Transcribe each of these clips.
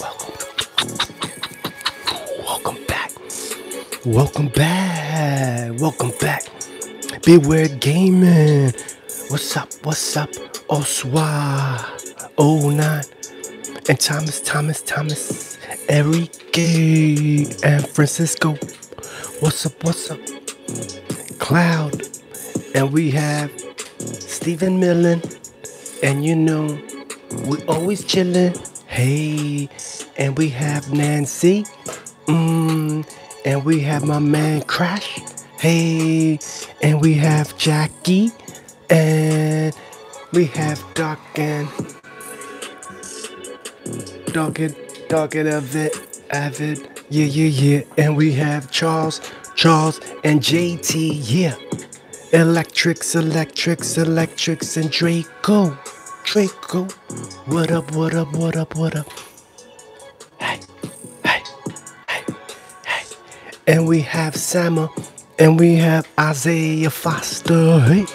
Welcome. Welcome back. Welcome back. Welcome back. Beware gaming. What's up? What's up? Oswa. Oh nine. And Thomas, Thomas, Thomas. Enrique and Francisco. What's up? What's up? Cloud. And we have Stephen Millen and you know, we always chillin'. Hey, and we have Nancy. Mmm, and we have my man Crash. Hey, and we have Jackie. And we have Doc and Doc and Doc and Avid. Avid. Yeah, yeah, yeah. And we have Charles, Charles, and JT. Yeah. Electrics, electrics, electrics, and Draco. Draco. What up, what up, what up, what up? Hey, hey, hey, hey. And we have Sama, and we have Isaiah Foster. Hey.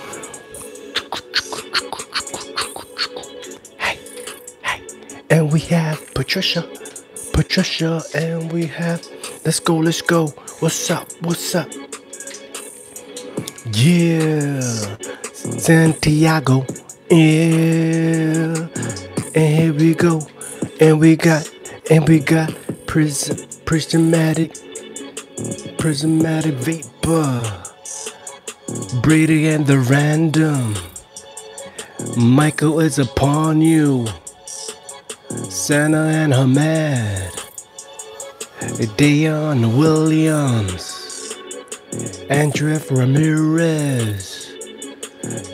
Hey, hey. And we have Patricia. Patricia and we have. Let's go, let's go. What's up? What's up? Yeah, Santiago. Yeah, and here we go, and we got, and we got prism, prismatic, prismatic vapor. Brady and the random. Michael is upon you. Sana and her mad. Dion Williams. Andrew Ramirez.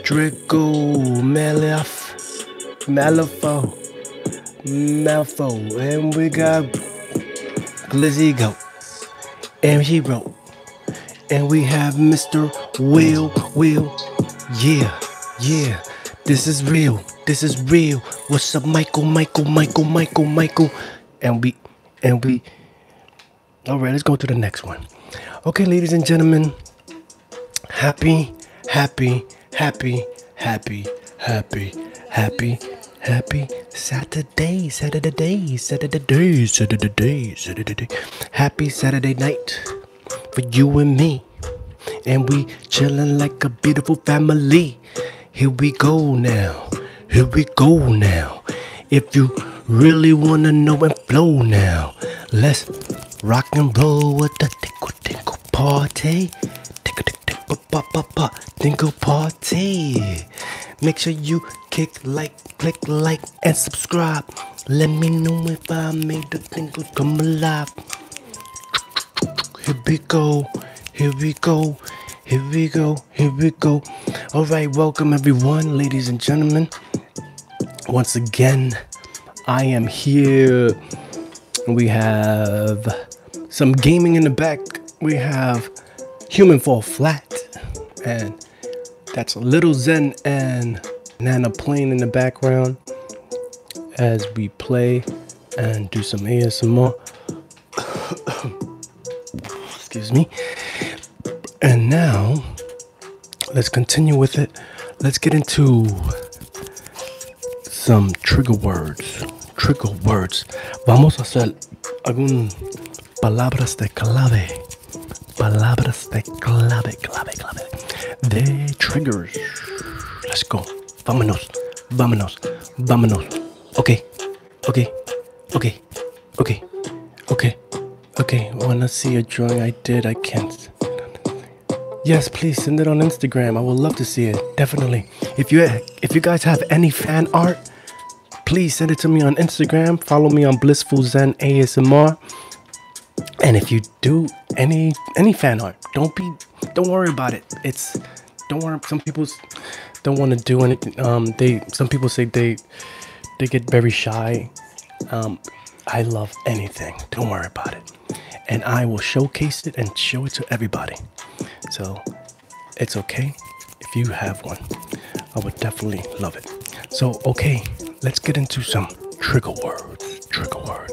Draco Malef. Malifaux. Malfo. And we got Glizzy Go, And she broke. And we have Mr. Will Will. Yeah, yeah. This is real. This is real. What's up, Michael? Michael, Michael, Michael, Michael. And we, and we. All right, let's go to the next one. Okay, ladies and gentlemen. Happy, happy, happy, happy, happy, happy, happy Saturday, Saturday, Saturday, Saturday, Saturday, Saturday. Happy Saturday night for you and me. And we chillin' like a beautiful family. Here we go now. Here we go now. If you really wanna know and flow now, let's rock and roll with the tinkle tinkle party. Tinkle tinkle pa pa pa tinkle party. Make sure you kick like, click like, and subscribe. Let me know if I made the tinkle come alive. Here we go, here we go, here we go, here we go. All right, welcome everyone, ladies and gentlemen. Once again, I am here. We have some gaming in the back. We have Human Fall Flat, and that's Little Zen and Nana playing in the background as we play and do some ASMR. Excuse me. And now, let's continue with it. Let's get into some trigger words. Trigger words. Vamos a hacer algún palabras de clave. Palabras de clave clave, clave, clave de triggers. Let's go. Vámonos, vámonos, vámonos. Ok, ok, ok, ok, ok, ok. Wanna see a drawing I did? I can't. Yes, please send it on Instagram. I would love to see it. Definitely. If you if you guys have any fan art, please send it to me on Instagram. Follow me on Blissful Zen ASMR. And if you do any any fan art. Don't be don't worry about it. It's don't want Some people don't want to do anything. Um, they some people say they they get very shy. Um, I love anything. Don't worry about it. And I will showcase it and show it to everybody. So it's okay if you have one. I would definitely love it. So okay, let's get into some trigger words. Trigger words.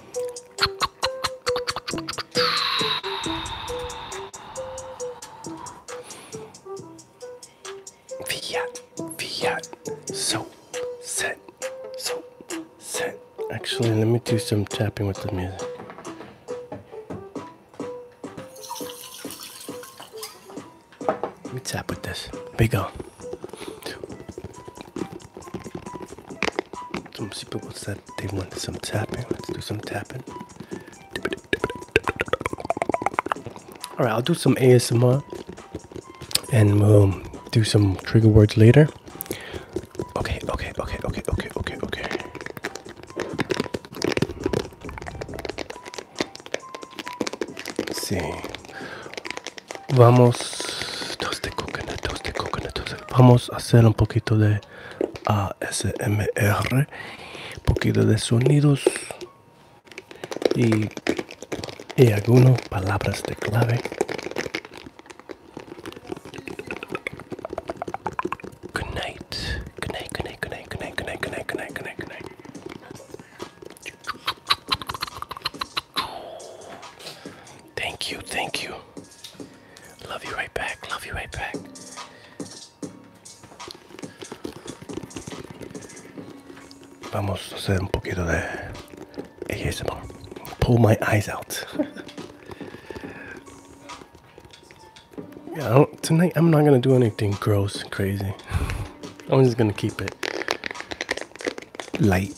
Fiat, Fiat, so set, so set. Actually, let me do some tapping with the music. Let me tap with this. Big on. Some people said they wanted some tapping. Let's do some tapping. All right, I'll do some ASMR, and we'll um, do some trigger words later. Okay, okay, okay, okay, okay, okay, okay. see. Vamos, toasted coconut, toasted coconut, toasted. Vamos a hacer un poquito de ASMR, poquito de sonidos y, y algunas palabras de clave. Good night, good night, good night, good night, good night, good night, good night, good night, good night. Thank you, thank you. Love you right back, love you right back. Vamos a hacer un poquito de ASMR. Pull my eyes out. yeah, tonight I'm not gonna do anything gross crazy. I'm just gonna keep it light.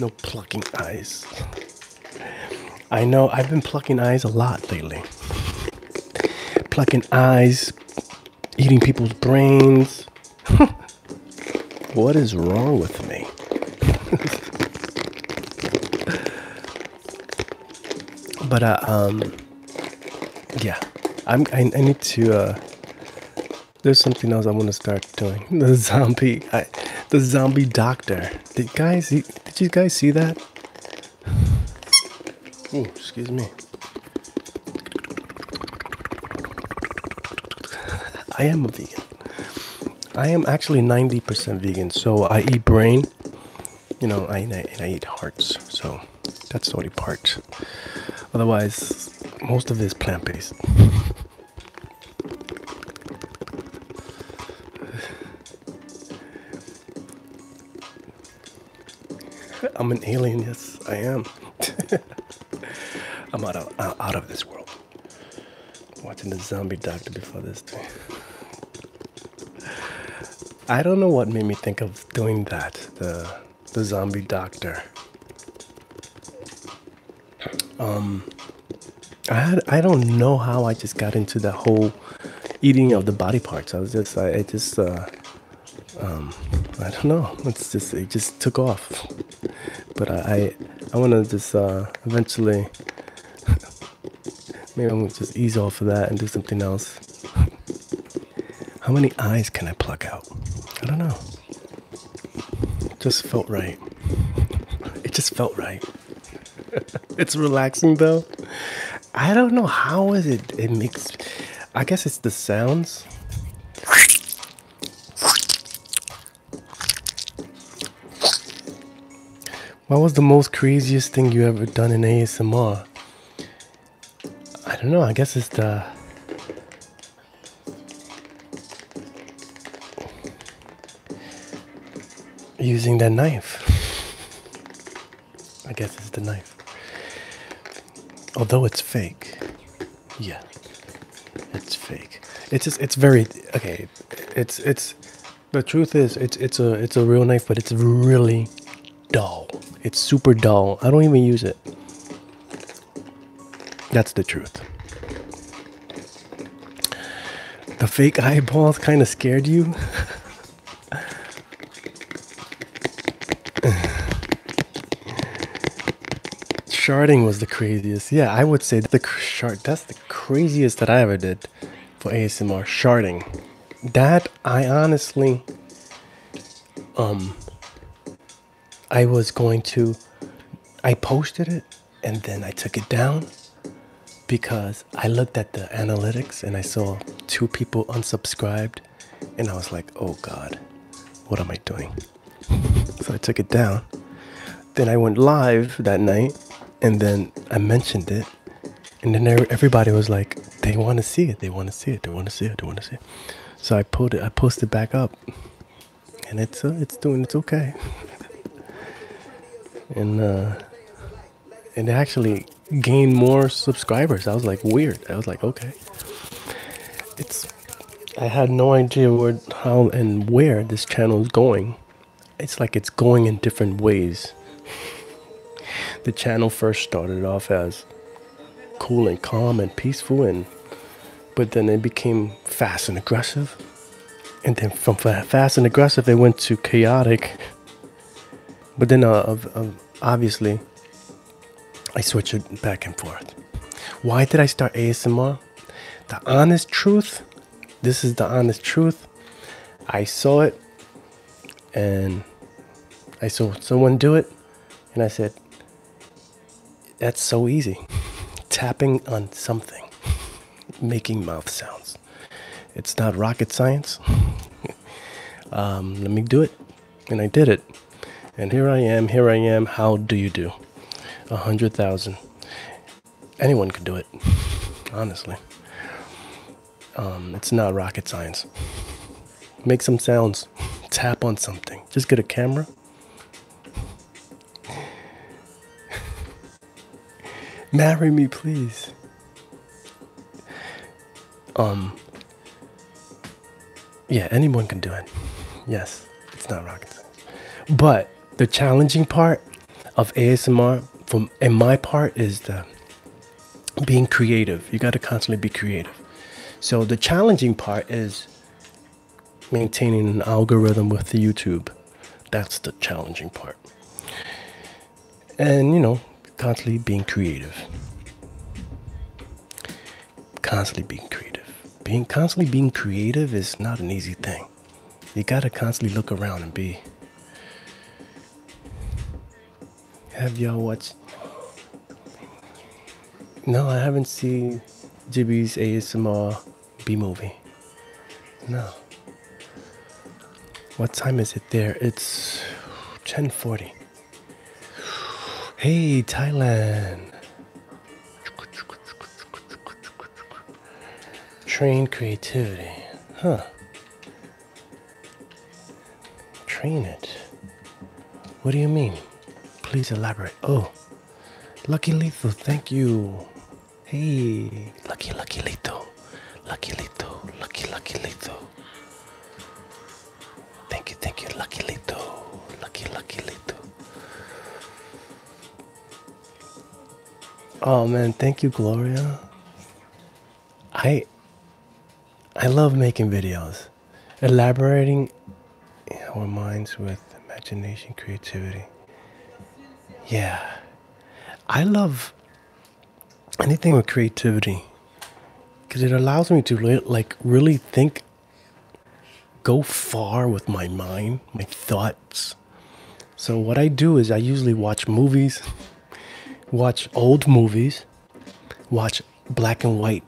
No plucking eyes. I know I've been plucking eyes a lot lately. Plucking eyes, eating people's brains. what is wrong with me? but uh, um, yeah, I'm. I, need to. Uh, there's something else I want to start doing. The zombie, I, the zombie doctor. Did guys, did you guys see that? Ooh, excuse me. I am a vegan. I am actually 90% vegan. So I eat brain, you know, and I eat hearts. So that's the only part Otherwise, most of it is plant based. I'm an alien, yes, I am. I'm out of, out of this world. Watching the zombie doctor before this thing. I don't know what made me think of doing that. The the zombie doctor. Um, I had I don't know how I just got into the whole eating of the body parts. I was just I, just uh, um, I don't know. It's just it just took off. But I I, want to just uh, eventually maybe I'm gonna just ease off of that and do something else. How many eyes can I pluck out? I don't know just felt right. It just felt right. it's relaxing though. I don't know how is it it makes I guess it's the sounds. What was the most craziest thing you ever done in ASMR? I don't know, I guess it's the using that knife. I guess it's the knife. Although it's fake. Yeah. It's fake. It's it's very okay. It's it's the truth is it's it's a it's a real knife, but it's really dull. It's super dull. I don't even use it. That's the truth. The fake eyeballs kind of scared you. Sharding was the craziest. Yeah, I would say the shard. That's the craziest that I ever did for ASMR. Sharding. That I honestly, um, I was going to, I posted it and then I took it down because I looked at the analytics and I saw two people unsubscribed and I was like, oh God, what am I doing? so I took it down. Then I went live that night and then I mentioned it. And then everybody was like, they want to see it, they want to see it, they want to see it, they want to see it. So I pulled it, I posted back up and it's uh, it's doing it's okay. and uh, and it actually gained more subscribers. I was like weird. I was like okay. It's I had no idea where how and where this channel is going. It's like it's going in different ways. the channel first started off as cool and calm and peaceful and but then they became fast and aggressive and then from fast and aggressive they went to chaotic but then uh, obviously i switch it back and forth why did i start asmr the honest truth this is the honest truth i saw it and i saw someone do it and I said, That's so easy. Tapping on something, making mouth sounds. It's not rocket science. Um, let me do it. And I did it. And here I am, here I am. How do you do? A hundred thousand. Anyone could do it, honestly. Um, it's not rocket science. Make some sounds, tap on something. Just get a camera Marry me, please. Um. Yeah, anyone can do it. Yes, it's not rocket science. But the challenging part of ASMR, from in my part, is the being creative. You got to constantly be creative. So the challenging part is maintaining an algorithm with YouTube. That's the challenging part. And, you know, constantly being creative. Constantly being creative. Being constantly being creative is not an easy thing. You got to constantly look around and be. Have y'all watched? No, I haven't seen Jibby's ASMR B movie. No. What time is it there? It's 10:40. Hey, Thailand. Train creativity. Huh. Train it. What do you mean? Please elaborate. Oh. Lucky Lito, thank you. Hey, Lucky Lucky Lito, Lucky Lito, Lucky Lucky Lito. Thank you, thank you, Lucky Lito, Lucky Lucky Lito. Oh man, thank you, Gloria. I I love making videos elaborating our minds with imagination, creativity. Yeah. I love anything with creativity because it allows me to like really think, go far with my mind, my thoughts. So what I do is I usually watch movies, watch old movies, watch black and white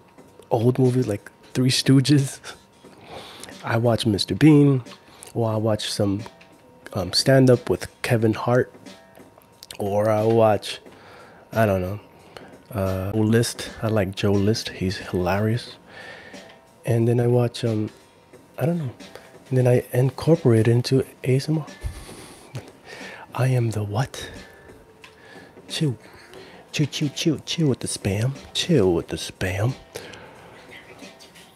old movies like Three Stooges. I watch Mr. Bean, or I watch some um, stand up with Kevin Hart, or I watch, I don't know, uh, List. I like Joe List, he's hilarious. And then I watch, um, I don't know, then I incorporate it into ASMR. I am the what? Chill. Chill, chill, chill, chill with the spam. Chill with the spam.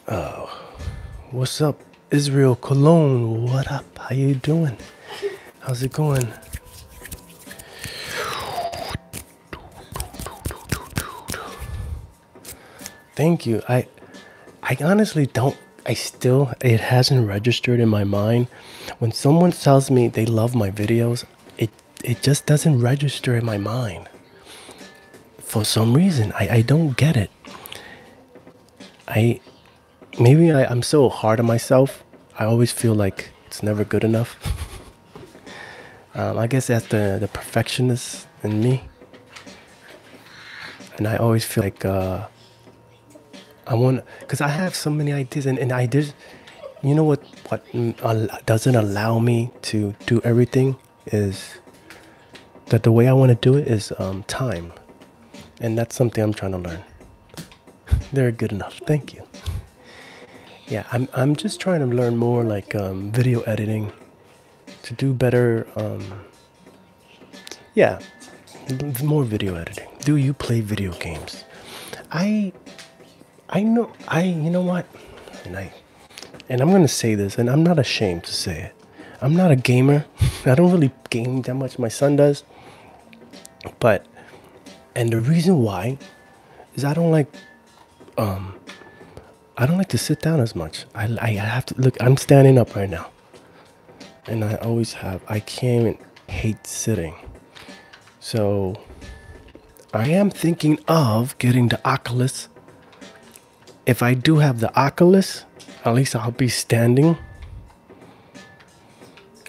Oh. What's up, Israel Cologne? What up? How you doing? How's it going? Thank you. I I honestly don't I still it hasn't registered in my mind. When someone tells me they love my videos, it it just doesn't register in my mind for some reason i i don't get it i maybe I, am so hard on myself i always feel like it's never good enough um, i guess that's the the perfectionist in me and i always feel like uh, i want because i have so many ideas and, and i you know what, what doesn't allow me to do everything is that the way I want to do it is um, time. And that's something I'm trying to learn. They're good enough. Thank you. Yeah, I'm, I'm just trying to learn more like um, video editing to do better. Um, yeah, more video editing. Do you play video games? I I know I you know what? And I and I'm gonna say this, and I'm not ashamed to say it. I'm not a gamer. I don't really game that much. My son does. But and the reason why is I don't like um I don't like to sit down as much. I, I have to look I'm standing up right now. And I always have I can't even hate sitting. So I am thinking of getting the Oculus. If I do have the Oculus, at least I'll be standing.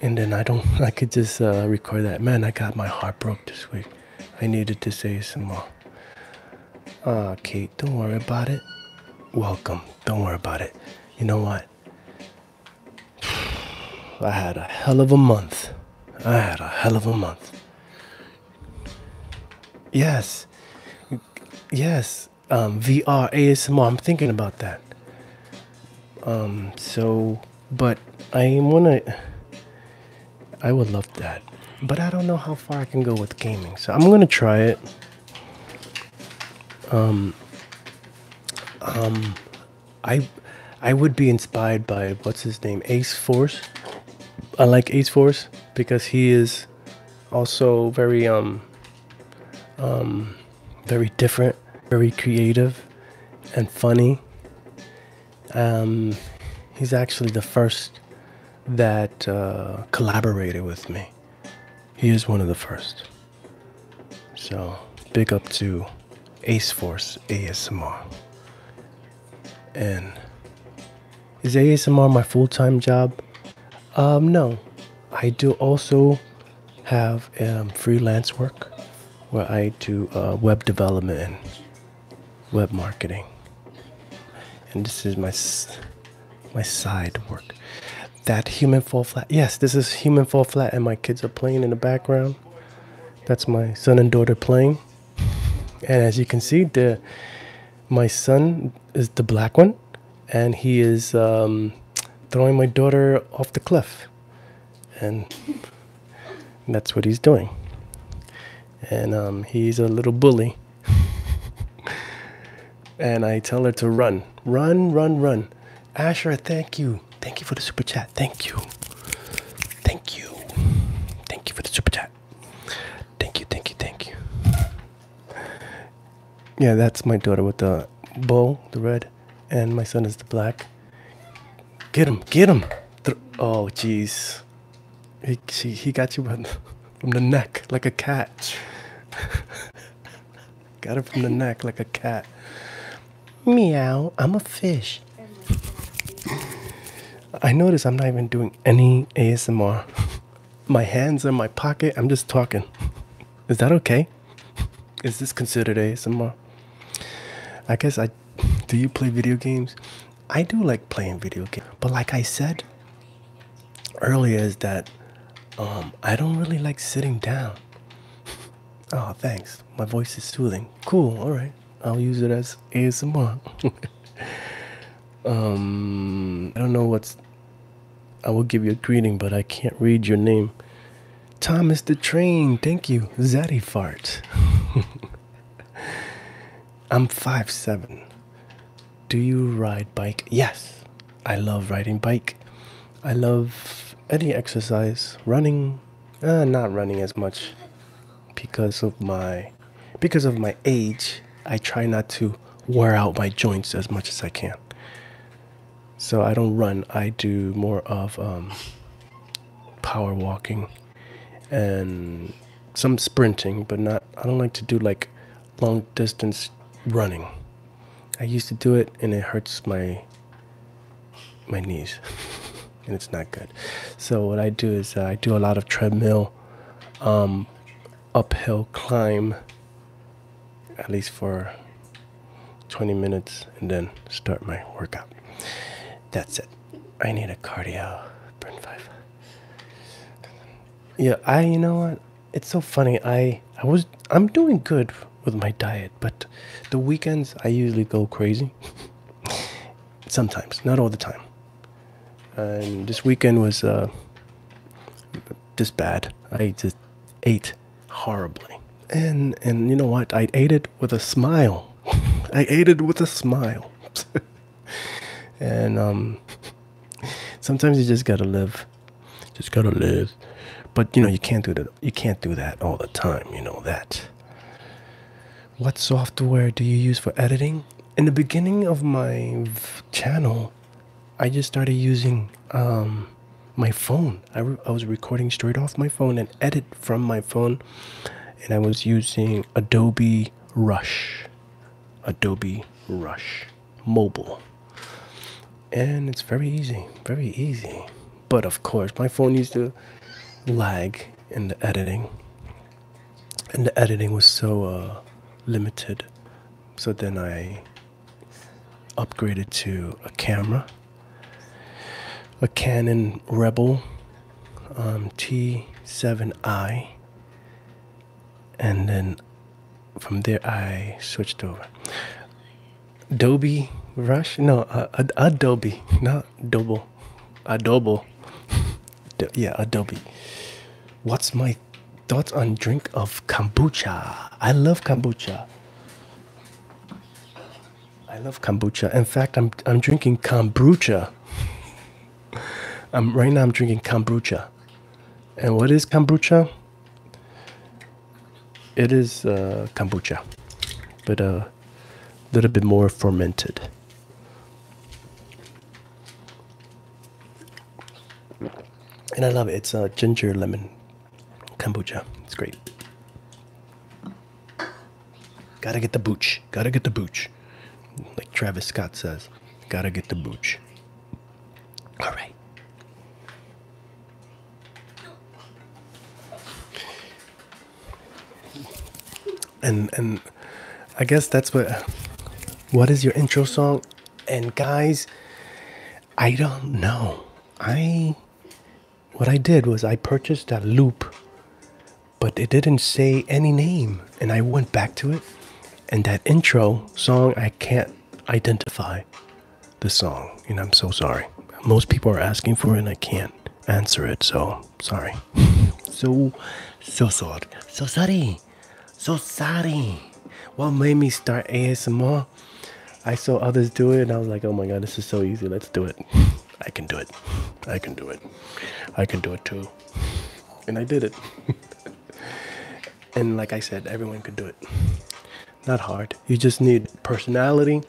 And then I don't, I could just uh, record that. Man, I got my heart broke this week. I needed to say some more. Ah, Kate, don't worry about it. Welcome. Don't worry about it. You know what? I had a hell of a month. I had a hell of a month. Yes. Yes. Um, VR, ASMR. I'm thinking about that. Um, so, but I want to. I would love that. But I don't know how far I can go with gaming. So I'm going to try it. Um, um, I I would be inspired by what's his name, Ace Force. I like Ace Force because he is also very um um very different, very creative and funny. Um, he's actually the first that uh, collaborated with me. He is one of the first. So big up to Ace Force ASMR. And is ASMR my full time job? Um, no. I do also have um, freelance work where I do uh, web development and web marketing. And this is my my side work. That human fall flat. Yes, this is human fall flat, and my kids are playing in the background. That's my son and daughter playing. And as you can see, the my son is the black one, and he is um, throwing my daughter off the cliff. And that's what he's doing. And um, he's a little bully. and I tell her to run, run, run, run. Asher, thank you. Thank you for the super chat. Thank you. Thank you. Thank you for the super chat. Thank you, thank you, thank you. Yeah, that's my daughter with the bow, the red, and my son is the black. Get him, get him. Oh, jeez. He, she, he got you from the neck like a cat. got him from the neck like a cat. Meow, I'm a fish. I notice I'm not even doing any ASMR. my hands in my pocket, I'm just talking. Is that okay? Is this considered ASMR? I guess I do you play video games? I do like playing video games, but like I said earlier, is that um, I don't really like sitting down. Oh, thanks. My voice is soothing. Cool, alright. I'll use it as ASMR. um, I don't know what's. I will give you a greeting, but I can't read your name. Thomas the Train, thank you. Zaddy Fart. I'm five seven. Do you ride bike? Yes, I love riding bike. I love any exercise. Running, uh, not running as much because of my because of my age i try not to wear out my joints as much as i can so i don't run i do more of um, power walking and some sprinting but not i don't like to do like long distance running i used to do it and it hurts my my knees, and it's not good. So what I do is uh, I do a lot of treadmill, um, uphill climb, at least for 20 minutes, and then start my workout. That's it. I need a cardio burn five. Yeah, I you know what? It's so funny. I I was I'm doing good with my diet, but the weekends I usually go crazy. sometimes, not all the time. And this weekend was just uh, bad. I just ate horribly, and and you know what? I ate it with a smile. I ate it with a smile. and um, sometimes you just gotta live, just gotta live. But you know you can't do that. You can't do that all the time. You know that. What software do you use for editing? In the beginning of my channel, I just started using um, my phone. I, I was recording straight off my phone and edit from my phone, and I was using Adobe Rush. Adobe Rush Mobile. And it's very easy, very easy. But of course, my phone used to lag in the editing and the editing was so uh, limited so then i upgraded to a camera a canon rebel um, t7i and then from there i switched over adobe rush no uh, adobe no adobo adobo yeah adobe what's my thoughts on drink of kombucha i love kombucha i love kombucha in fact i'm i'm drinking kombucha i'm right now i'm drinking kombucha and what is kombucha it is uh, kombucha but uh a little bit more fermented. And I love it. It's uh, ginger lemon kombucha. It's great. Gotta get the booch. Gotta get the booch. Like Travis Scott says, gotta get the booch. All right and and I guess that's what what is your intro song and guys I don't know I what I did was I purchased a loop but it didn't say any name and I went back to it and that intro song I can't identify the song and I'm so sorry most people are asking for it and I can't answer it so sorry. so, so sorry. So sorry. So sorry. What made me start ASMR? I saw others do it and I was like, oh my god, this is so easy. Let's do it. I can do it. I can do it. I can do it too. And I did it. and like I said, everyone could do it. Not hard. You just need personality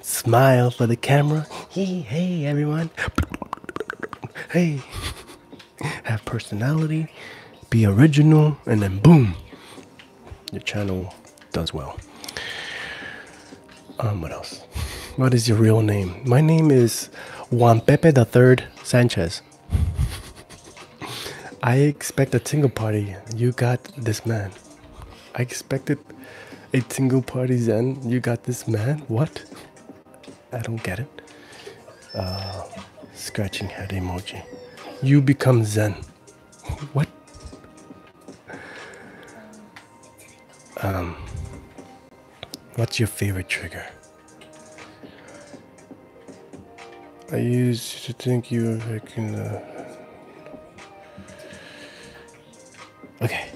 smile for the camera. Hey, everyone. Hey, have personality, be original, and then boom, your channel does well. Um, what else? What is your real name? My name is Juan Pepe the Third Sanchez. I expect a tingle party. You got this man. I expect a single party zen. you got this man? What? I don't get it. Uh, scratching head emoji. You become Zen. what? Um, what's your favorite trigger? I used to think you were like in Okay.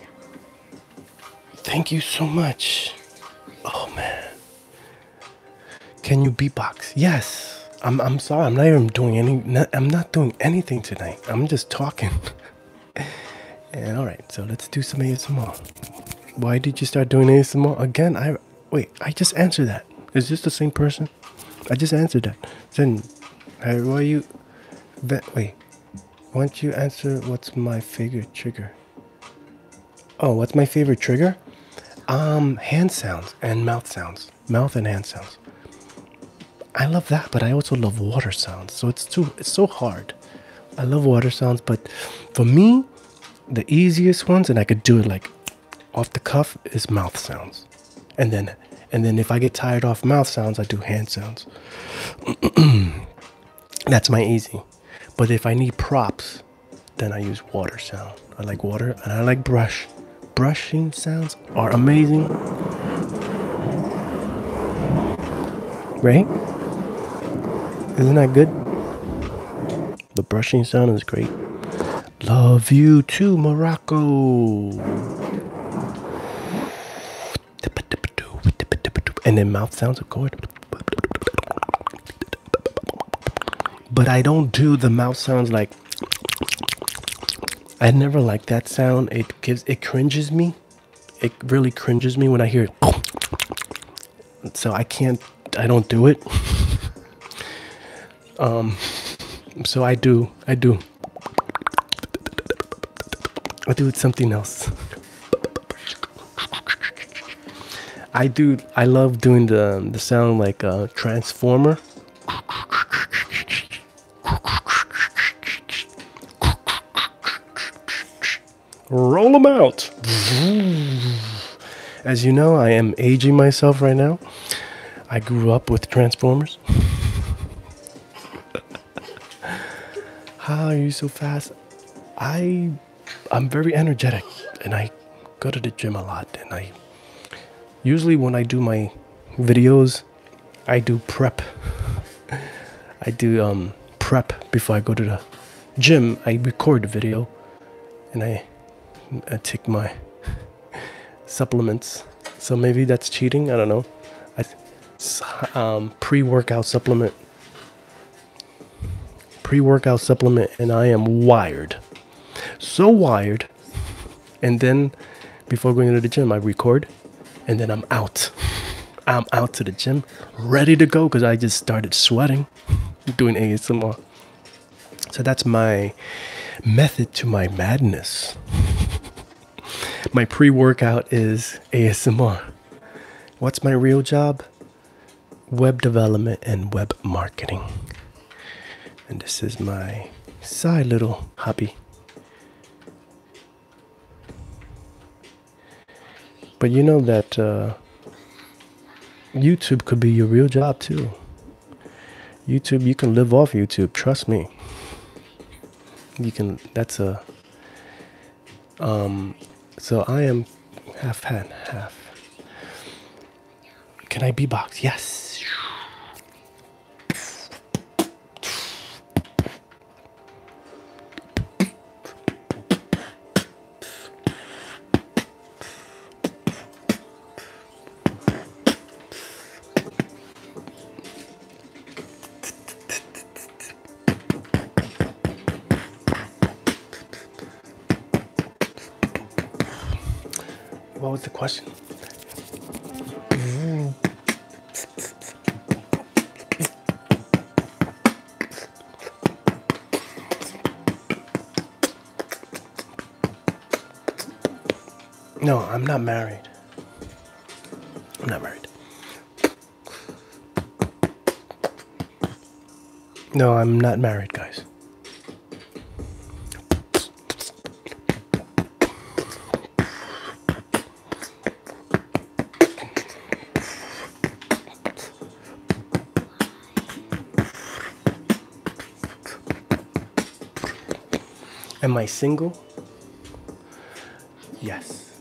Thank you so much. Oh man. Can you beatbox? Yes. I'm I'm sorry. I'm not even doing any I'm not doing anything tonight. I'm just talking. and all right. So let's do some ASMR. Why did you start doing ASMR again? I wait, I just answered that. Is this the same person? I just answered that. Then, why are you? way? Why don't you answer what's my favorite trigger? Oh, what's my favorite trigger? Um, hand sounds and mouth sounds. Mouth and hand sounds. I love that, but I also love water sounds. So it's too it's so hard. I love water sounds, but for me, the easiest ones, and I could do it like off the cuff, is mouth sounds. And then and then if I get tired off mouth sounds, I do hand sounds. That's my easy. But if I need props, then I use water sound. I like water and I like brush. Brushing sounds are amazing. Right? Isn't that good? The brushing sound is great. Love you too, Morocco and then mouth sounds are good, but i don't do the mouth sounds like i never like that sound it gives it cringes me it really cringes me when i hear it so i can't i don't do it um so i do i do I do something else. I do. I love doing the the sound like a transformer. Roll them out. As you know, I am aging myself right now. I grew up with Transformers. How are you so fast? I I'm very energetic and I go to the gym a lot and I usually when I do my videos I do prep. I do um, prep before I go to the gym. I record the video and I take my supplements. So maybe that's cheating, I don't know. Um, pre-workout supplement pre-workout supplement and i am wired so wired and then before going into the gym i record and then i'm out i'm out to the gym ready to go because i just started sweating doing asmr so that's my method to my madness my pre workout is ASMR. What's my real job? Web development and web marketing. And this is my side little hobby. But you know that uh, YouTube could be your real job too. YouTube, you can live off YouTube, trust me. You can, that's a um, so I am half and half. Can I be boxed? Yes. What was the question? No, I'm not married. I'm not married. No, I'm not married, guys. Am I single? Yes.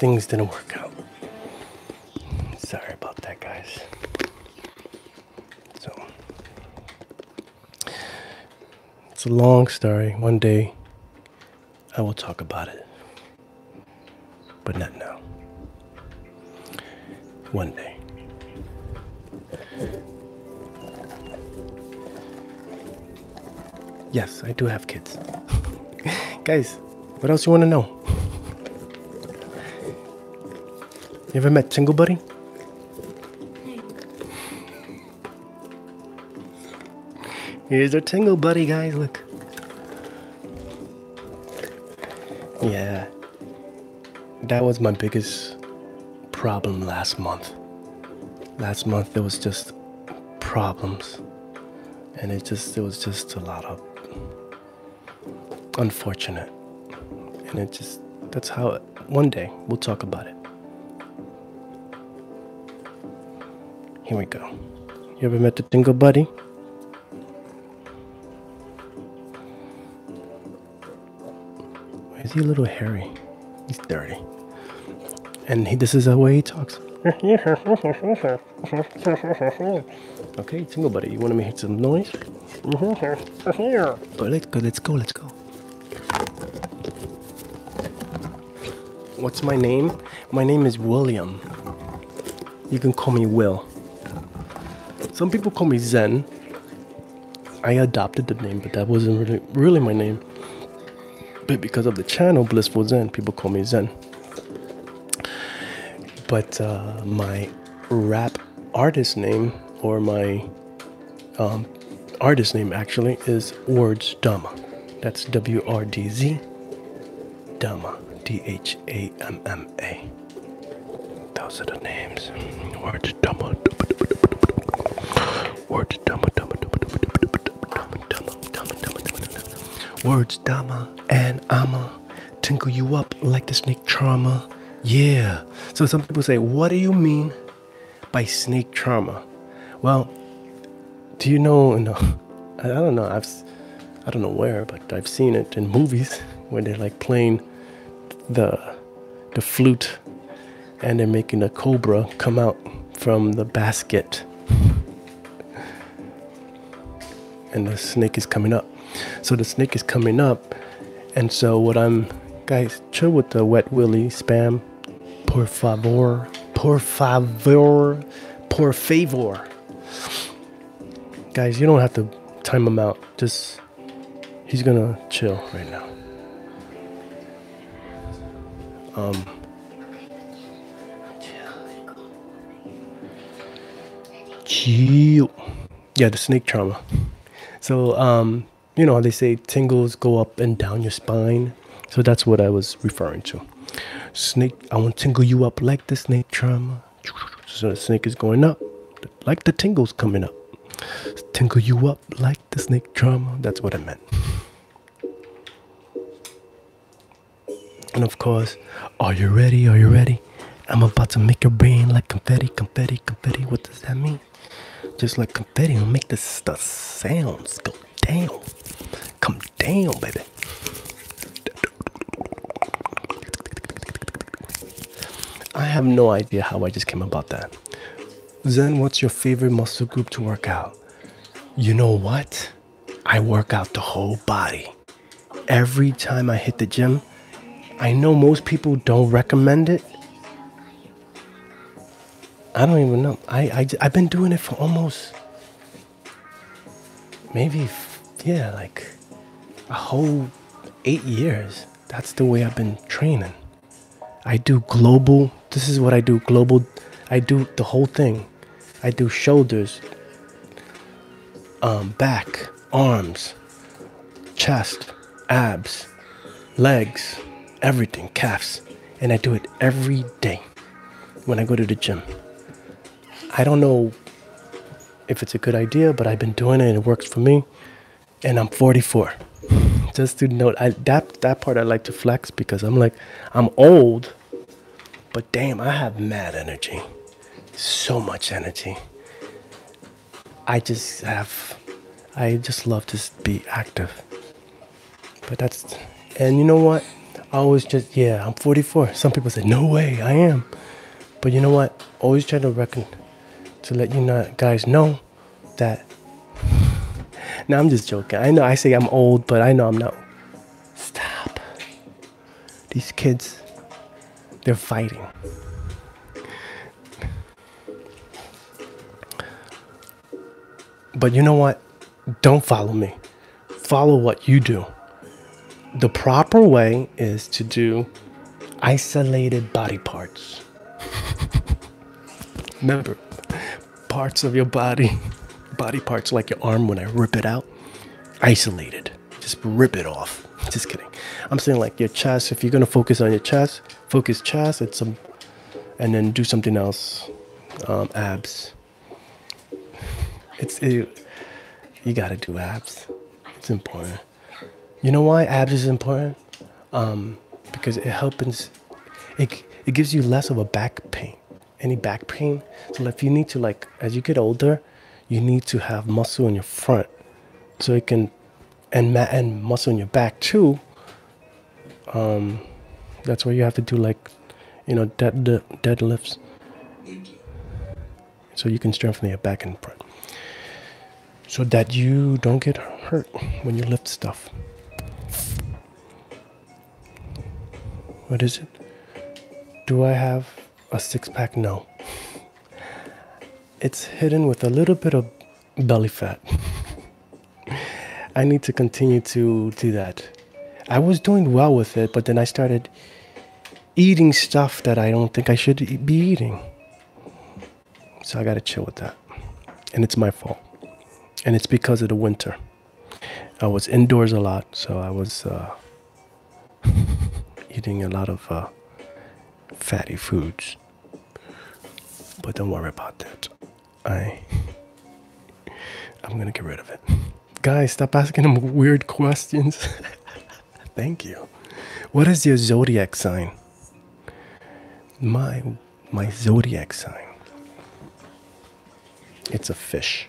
things didn't work out. Sorry about that, guys. So, it's a long story. One day I will talk about it, but not now. One day. Yes, I do have kids. guys, what else you want to know? You ever met Tingle Buddy? Here's our Tingle Buddy, guys. Look. Yeah. That was my biggest problem last month. Last month there was just problems. And it just it was just a lot of unfortunate. And it just, that's how, one day we'll talk about it. Here we go. You ever met the Dingle Buddy? Why is he a little hairy? He's dirty. And he, this is the way he talks. okay, Tingle Buddy, you want to make some noise? but mm-hmm. let's go, let's go, let's go. What's my name? My name is William. You can call me Will. Some people call me Zen. I adopted the name, but that wasn't really really my name. But because of the channel Blissful Zen, people call me Zen. But uh, my rap artist name or my um, artist name actually is Words Dama. That's W R D Z Dama. D H A M M A. Those are the names. Words Dama. Words Dama. Words Dama and Ama tinkle you up like the snake trauma, Yeah. So some people say, what do you mean by snake trauma?" Well, do you know? No, I don't know. I've I don't know where, but I've seen it in movies where they're like playing the the flute and they're making a cobra come out from the basket. and the snake is coming up. So the snake is coming up, and so what I'm guys chill with the wet willy spam. Por favor, por favor, por favor. Guys, you don't have to time him out. Just he's gonna chill right now. Um. Chill yeah, the snake trauma. So, um, you know, they say tingles go up and down your spine. So that's what I was referring to. Snake, I want to tingle you up like the snake trauma. So the snake is going up, like the tingles coming up. Tingle you up like the snake trauma. That's what I meant. And of course, are you ready? Are you ready? I'm about to make your brain like confetti, confetti, confetti. What does that mean? Just like confetti, will make this stuff sounds go down. Come down, baby. I have no idea how I just came about that. Then, what's your favorite muscle group to work out? You know what? I work out the whole body every time I hit the gym. I know most people don't recommend it. I don't even know. I, I, I've been doing it for almost maybe, yeah, like a whole eight years. That's the way I've been training. I do global, this is what I do global. I do the whole thing. I do shoulders, um, back, arms, chest, abs, legs, everything, calves. And I do it every day when I go to the gym. I don't know if it's a good idea, but I've been doing it and it works for me. And I'm 44. Just to note, that that part I like to flex because I'm like, I'm old, but damn, I have mad energy so much energy. I just have, I just love to be active. But that's, and you know what? I always just, yeah, I'm 44. Some people say, no way, I am. But you know what? Always try to reckon, to let you know, guys know that. now I'm just joking. I know I say I'm old, but I know I'm not. Stop. These kids, they're fighting. But you know what? Don't follow me. Follow what you do. The proper way is to do isolated body parts. Remember, parts of your body, body parts like your arm when I rip it out, isolated. Just rip it off. Just kidding. I'm saying like your chest. If you're gonna focus on your chest, focus chest It's some, and then do something else. Um, abs. It's you. you gotta do abs. It's important. You know why abs is important? Um, because it helps. It it gives you less of a back pain. Any back pain. So if you need to like as you get older, you need to have muscle in your front so it can and and muscle in your back too um that's why you have to do like you know dead deadlifts so you can strengthen your back and front so that you don't get hurt when you lift stuff what is it do i have a six pack, no. It's hidden with a little bit of belly fat. I need to continue to do that. I was doing well with it, but then I started eating stuff that I don't think I should be eating. So I gotta chill with that. And it's my fault. And it's because of the winter. I was indoors a lot, so I was uh, eating a lot of uh, fatty foods. But don't worry about that. I I'm gonna get rid of it. Guys, stop asking them weird questions. Thank you. What is your zodiac sign? My my zodiac sign. It's a fish.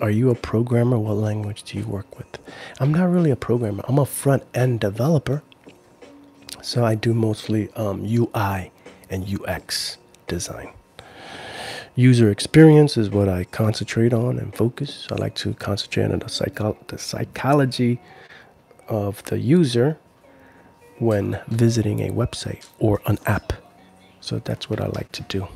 Are you a programmer? What language do you work with? I'm not really a programmer. I'm a front end developer. So I do mostly UI um, and UX design. User experience is what I concentrate on and focus. I like to concentrate on the psychology of the user when visiting a website or an app. So that's what I like to do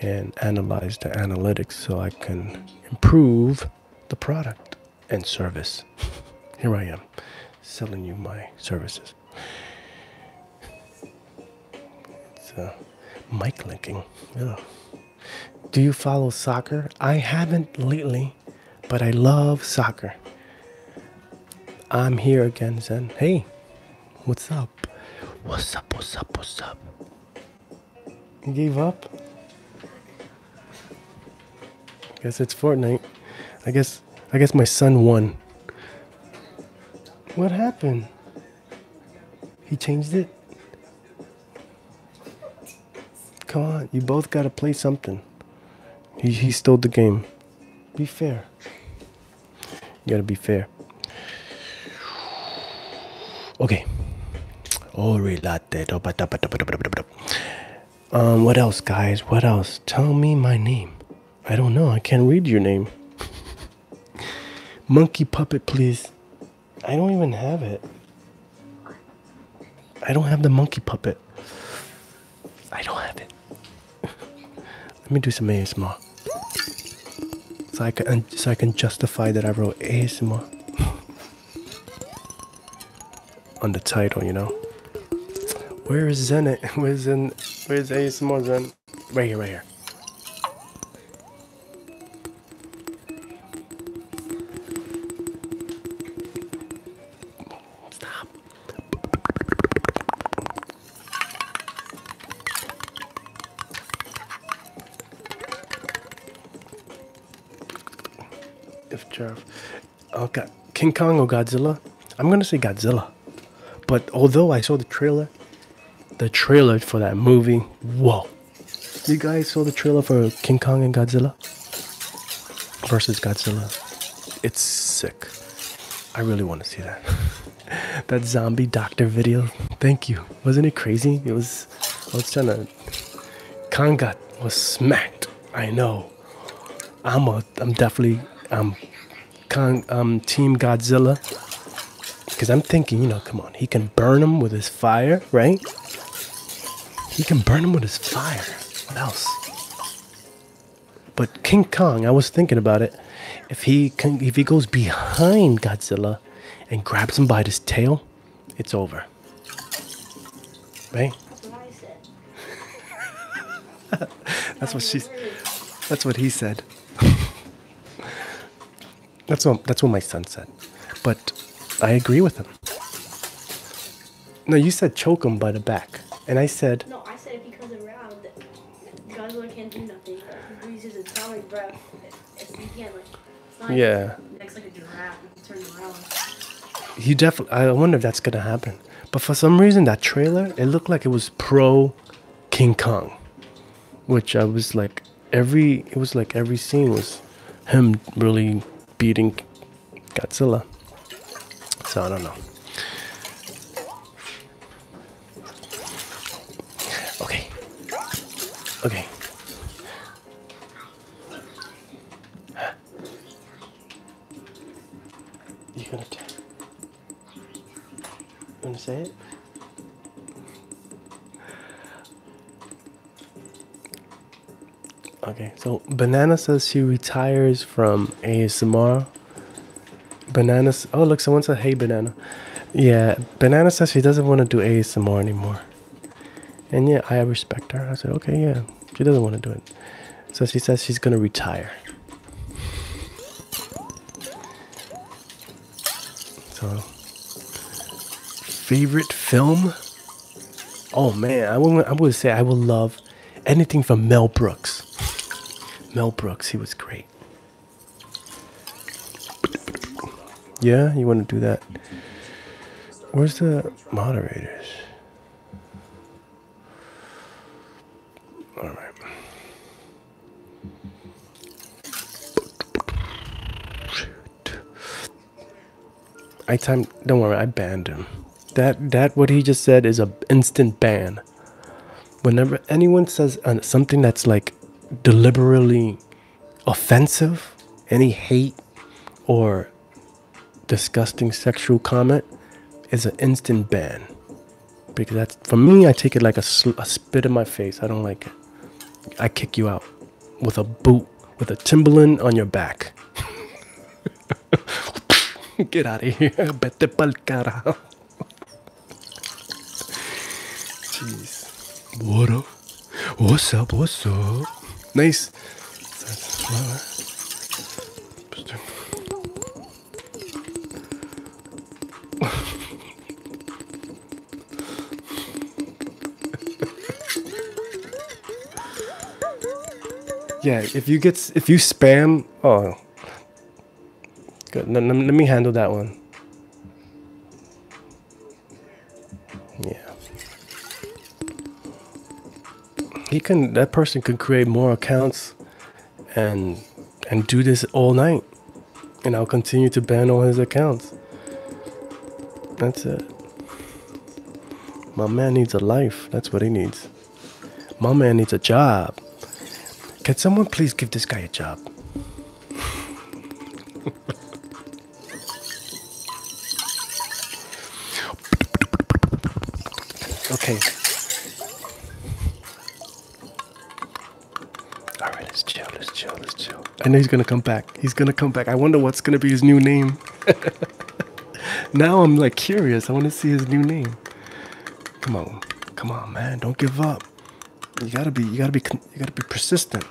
and analyze the analytics so I can improve the product and service. Here I am selling you my services. It's uh, mic linking. Do you follow soccer? I haven't lately, but I love soccer. I'm here again, Zen. Hey, what's up? What's up? What's up? What's up? He gave up? I guess it's Fortnite. I guess I guess my son won. What happened? He changed it? Come on, you both gotta play something. He, he stole the game. Be fair. You gotta be fair. Okay. Oh, reload um, what else, guys? What else? Tell me my name. I don't know. I can't read your name. Monkey puppet, please. I don't even have it. I don't have the monkey puppet. I don't have it. Let me do some ASMR. So I can so I can justify that I wrote ASMO on the title, you know. Where is Zen? At? Where's Zen? Where's ASMR Zen? Right here, right here. Stop. If Jeff, okay, oh, King Kong or Godzilla? I'm gonna say Godzilla. But although I saw the trailer, the trailer for that movie, whoa! You guys saw the trailer for King Kong and Godzilla versus Godzilla. It's sick. I really want to see that. that zombie doctor video. Thank you. Wasn't it crazy? It was was trying to Kong Kangat was smacked. I know. I'm a. I'm definitely. I'm. Um, Con, um, Team Godzilla. Because I'm thinking, you know, come on, he can burn him with his fire, right? He can burn him with his fire. What else? But King Kong, I was thinking about it. If he can, if he goes behind Godzilla, and grabs him by his tail, it's over. Right? That's what I said. that's what she's. That's what he said. that's what that's what my son said, but I agree with him. No, you said choke him by the back, and I said. No, I said because around Godzilla can't do nothing. He breathes his entire breath yeah. Next, he definitely. I wonder if that's gonna happen. But for some reason, that trailer it looked like it was pro King Kong, which I was like, every it was like every scene was him really beating Godzilla. So I don't know. Okay. Okay. Huh. You gonna tell? You to say it? Okay, so Banana says she retires from ASMR. Banana. Oh, look, someone said, hey, Banana. Yeah, banana says she doesn't want to do ASMR anymore. And yeah, I respect her. I said, okay, yeah, she doesn't want to do it. So she says she's gonna retire. So, favorite film? Oh man, I would I would say I would love anything from Mel Brooks. Mel Brooks, he was great. Yeah, you want to do that. Where's the moderators? All right. I time. Don't worry, I banned him. That that what he just said is a instant ban. Whenever anyone says uh, something that's like deliberately offensive, any hate or disgusting sexual comment is an instant ban. Because that's, for me, I take it like a, spit in my face. I don't like it. I kick you out with a boot, with a Timberland on your back. Get out of here. Vete pa'l carajo. Jeez. Water. What's up? What's up? Nice. yeah, if you get if you spam, oh, good. let me handle that one. Yeah. He can. That person can create more accounts, and and do this all night, and I'll continue to ban all his accounts. That's it. My man needs a life. That's what he needs. My man needs a job. Can someone please give this guy a job? okay. All right, let's chill, let's chill, let's chill. I know he's gonna come back. He's gonna come back. I wonder what's gonna be his new name. now I'm like curious. I want to see his new name. Come on, come on, man. Don't give up. You gotta be, you gotta be, you gotta be persistent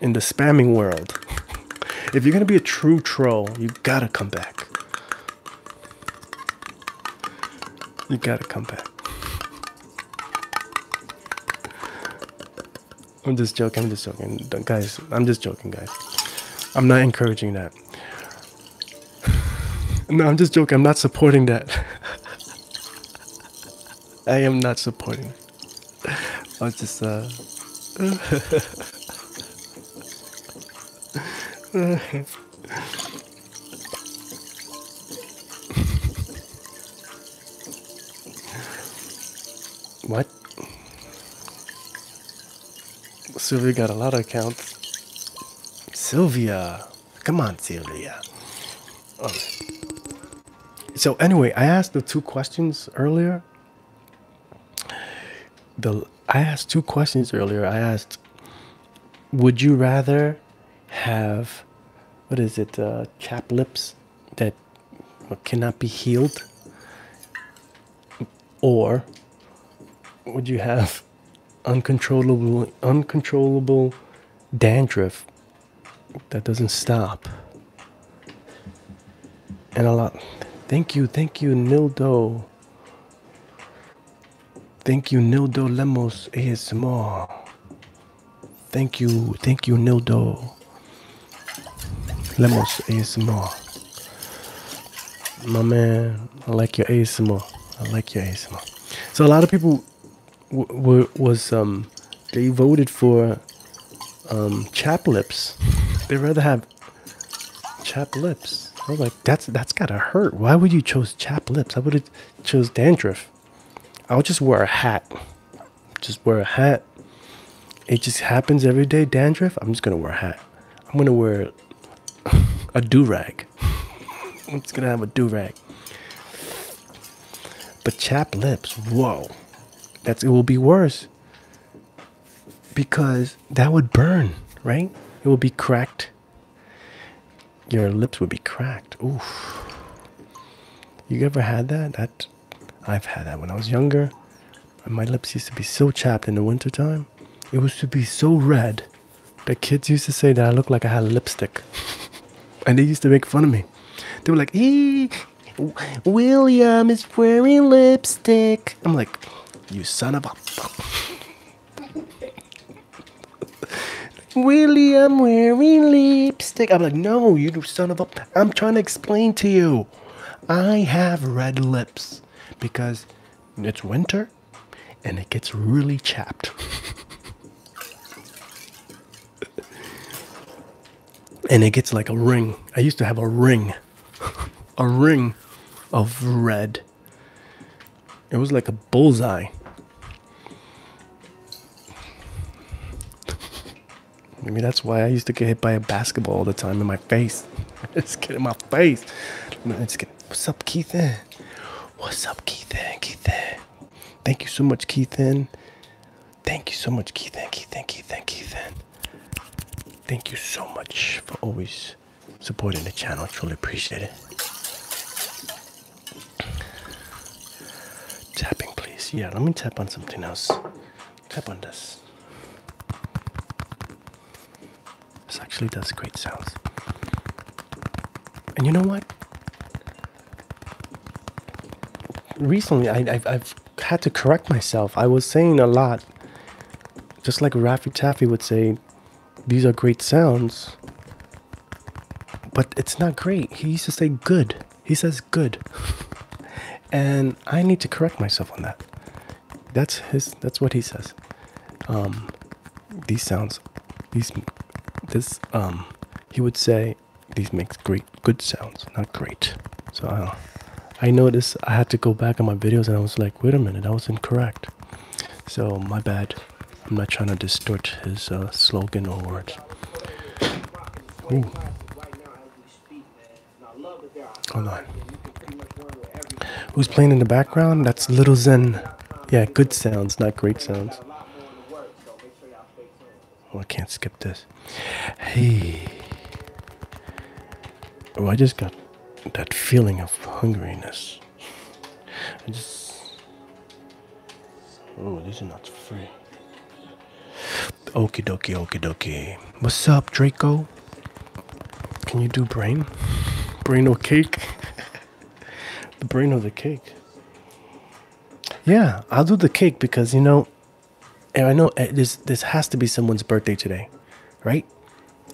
in the spamming world. if you're gonna be a true troll, you gotta come back. You gotta come back. I'm just joking. I'm just joking, guys. I'm just joking, guys. I'm not encouraging that. no, I'm just joking. I'm not supporting that. I am not supporting. I was just uh. what? Sylvia got a lot of counts. Sylvia, come on, Sylvia. Oh. So anyway, I asked the two questions earlier. The I asked two questions earlier. I asked, would you rather have what is it, uh, chap lips that cannot be healed, or would you have uncontrollable uncontrollable dandruff that doesn't stop. And a lot. Thank you, thank you, Nildo. Thank you, Nildo Lemos ASMR. Thank you, thank you, Nildo Lemos ASMR. My man, I like your ASMR. I like your ASMR. So a lot of people was um, they voted for um chap lips. they rather have chap lips. I was like, that's that's gotta hurt. Why would you chose chap lips? I would have chose dandruff. I'll just wear a hat. Just wear a hat. It just happens every day. Dandruff. I'm just gonna wear a hat. I'm gonna wear a do rag. I'm just gonna have a do rag. But chapped lips, whoa. That's it will be worse. Because that would burn, right? It will be cracked. Your lips would be cracked. Oof. You ever had that? That I've had that when I was younger. My lips used to be so chapped in the wintertime. It used to be so red. The kids used to say that I looked like I had lipstick. and they used to make fun of me. They were like, hey, William is wearing lipstick. I'm like, you son of a William wearing lipstick. I'm like, no, you son of a. I'm trying to explain to you. I have red lips because it's winter and it gets really chapped. and it gets like a ring. I used to have a ring, a ring of red. It was like a bullseye. Maybe that's why I used to get hit by a basketball all the time in my face. It's get in my face. what's up, Keithan? What's up, Keithan? Keithan. Thank you so much, Keithan. Thank you so much, Thank thank you, Keithan. Keithan, Keithan, Keithan. Thank you so much for always supporting the channel. Truly appreciate it. Tapping, please. Yeah, let me tap on something else. Tap on this. This actually does great sounds. And you know what? recently I, have had to correct myself. I was saying a lot, just like Raffy Taffy would say, these are great sounds, but it's not great. He used to say good. He says good. and I need to correct myself on that. That's his, that's what he says. Um, these sounds, these, this, um, he would say, these makes great good sounds, not great. So I, I noticed I had to go back on my videos and I was like, wait a minute, that was incorrect. So my bad. I'm not trying to distort his uh, slogan or words. Hold on. Who's playing in the background? That's Little Zen. Yeah, good sounds, not great sounds. Oh, I can't skip this. Hey. Oh, I just got that feeling of hungeriness. I just. Oh, this is not free. Okey dokie, okey dokie. What's up, Draco? Can you do brain? Brain or cake? the brain or the cake? Yeah, I'll do the cake because you know, and I know eh, this this has to be someone's birthday today, right?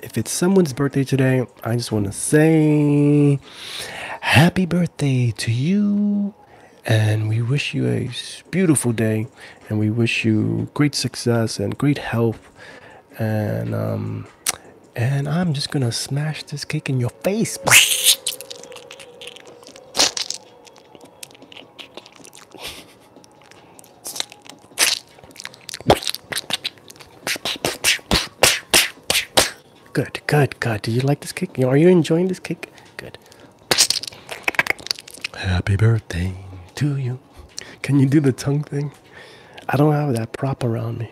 If it's someone's birthday today, I just want to say happy birthday to you. And we wish you a beautiful day, and we wish you great success and great health. And um, and I'm just gonna smash this cake in your face. Good, good, good. Do you like this cake? Are you enjoying this cake? Good. Happy birthday to you. Can you do the tongue thing? I don't have that prop around me.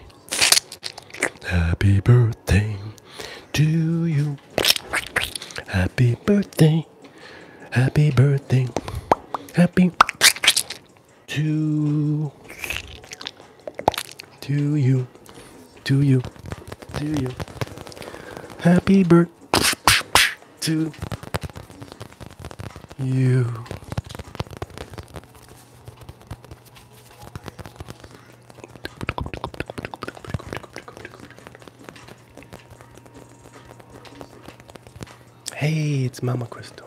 Happy birthday to you. Happy birthday. Happy birthday. Happy to to you. To you. To you. Happy birthday to you. Hey, it's Mama Crystal.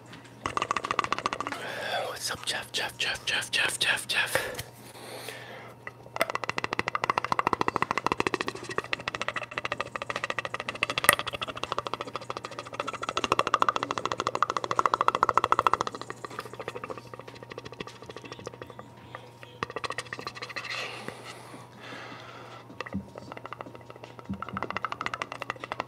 What's up, Jeff? Jeff, Jeff, Jeff, Jeff, Jeff, Jeff.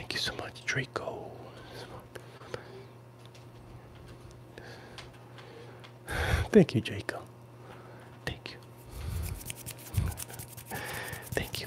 Thank you so much, Draco. Thank you, Draco. Thank you. Thank you.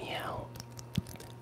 Meow.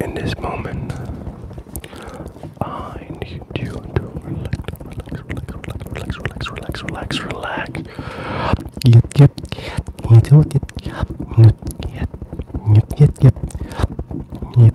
In this moment, I need you to relax, relax, relax, relax, relax, relax, relax. Yep, yep, you do it. Yep, yep, yep, yep, yep, yep,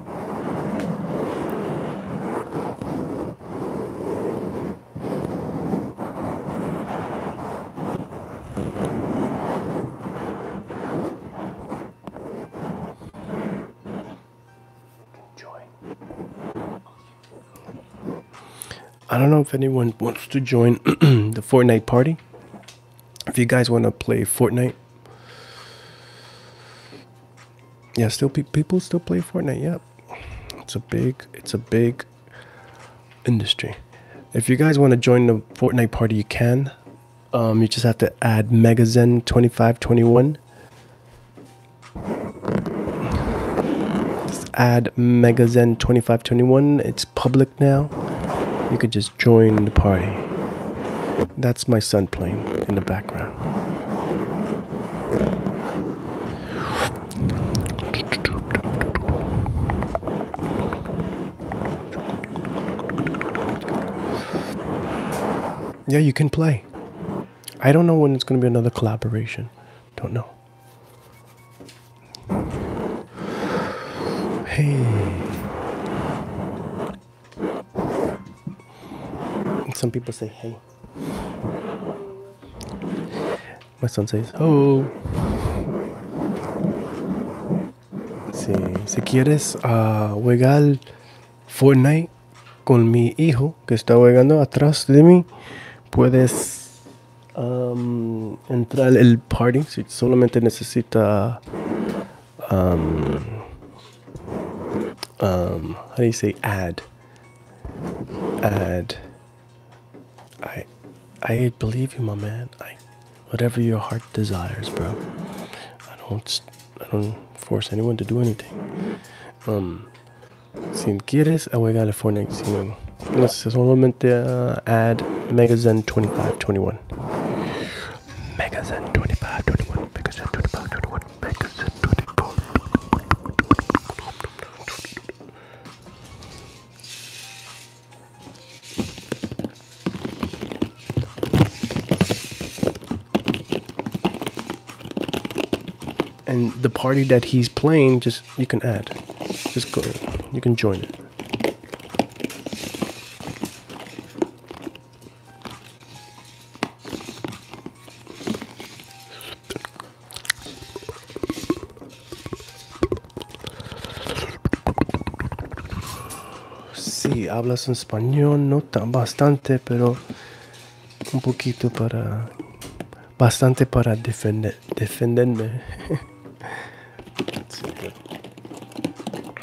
I don't know if anyone wants to join the Fortnite party if you guys want to play Fortnite, yeah, still people still play Fortnite. Yep, yeah. it's a big, it's a big industry. If you guys want to join the Fortnite party, you can. Um, you just have to add Megazen twenty five twenty one. add Megazen twenty five twenty one. It's public now. You could just join the party. That's my son playing in the background. Yeah, you can play. I don't know when it's going to be another collaboration. Don't know. Hey. Some people say hey. My son says oh. Si quieres ah, jugar Fortnite con mi hijo que está jugando atrás de mí, puedes entrar el party si solamente necesita um, um, how do you say "add"? Add. I, I believe you, my man. I, whatever your heart desires, bro. I don't, I don't force anyone to do anything. Um, si quieres juega el Fortnite, si no, solamente uh, ad Mega Zen 25, 21. Megazin 25, 21, Megazin 25, 21, Megazin 24. And the party that he's playing, just you can add, just go, you can join it. Sí, hablas en español, no tan bastante, pero un poquito para... Bastante para defenderme.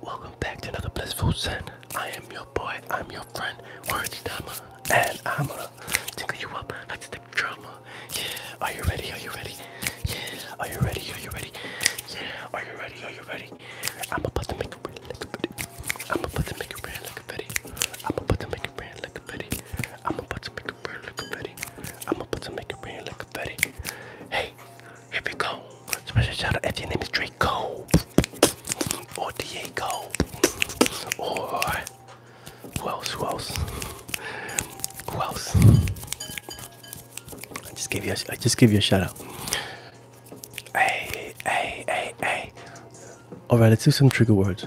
Welcome back to another Blissful Zen. I am your boy, I'm your friend, Words Dama, and I'm gonna tickle you up like the drama. Yeah, are you ready? Are you ready? Yeah, are you ready? Are you ready? Yeah, are you ready? Are you ready? I'm about to make a brand like a bitty. I'm about to make a brand like a bitty. I'm about to make a brand like a bitty. I'm about to make a brand like a bitty. I'm about to make it rain like confetti. Hey, here we go. Special shout out if your name is Draco or Diego or who else? Who else? Who else? I just give you. A, I just give you a shout out. Hey, hey, hey, hey. All right, let's do some trigger words.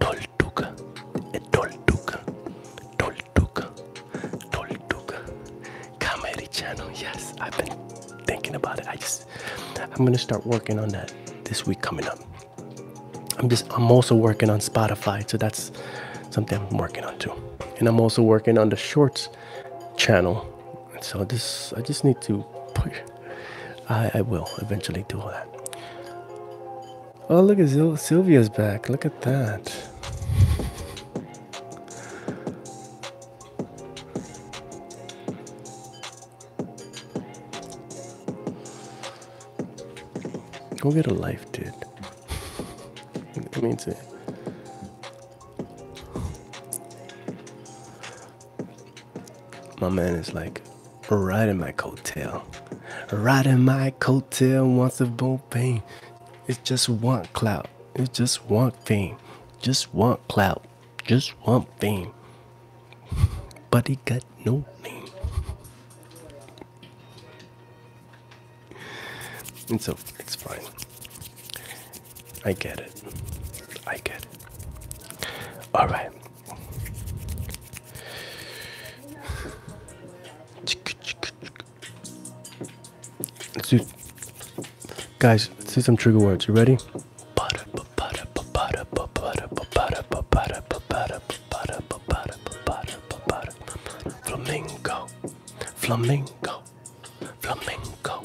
Toltuca, Toltuca, Toltuca, Toltuca. Comedy channel, yes. I've been thinking about it. I just, I'm gonna start working on that this week coming up. I'm just, I'm also working on Spotify, so that's something I'm working on too. And I'm also working on the Shorts channel. So this, I just need to push. I, I will eventually do all that. Oh, look at Sylvia's back. Look at that. Go get a life, dude. It means it. My man is like riding my coat coattail, riding my coat tail. wants the boom pain. It's just one clout, it's just one fame, just one clout, just one fame. But he got no name. And so it's fine. I get it. I get it. All right. Let's do, guys. Let's do some trigger words. You ready? Flamingo, flamingo, flamingo.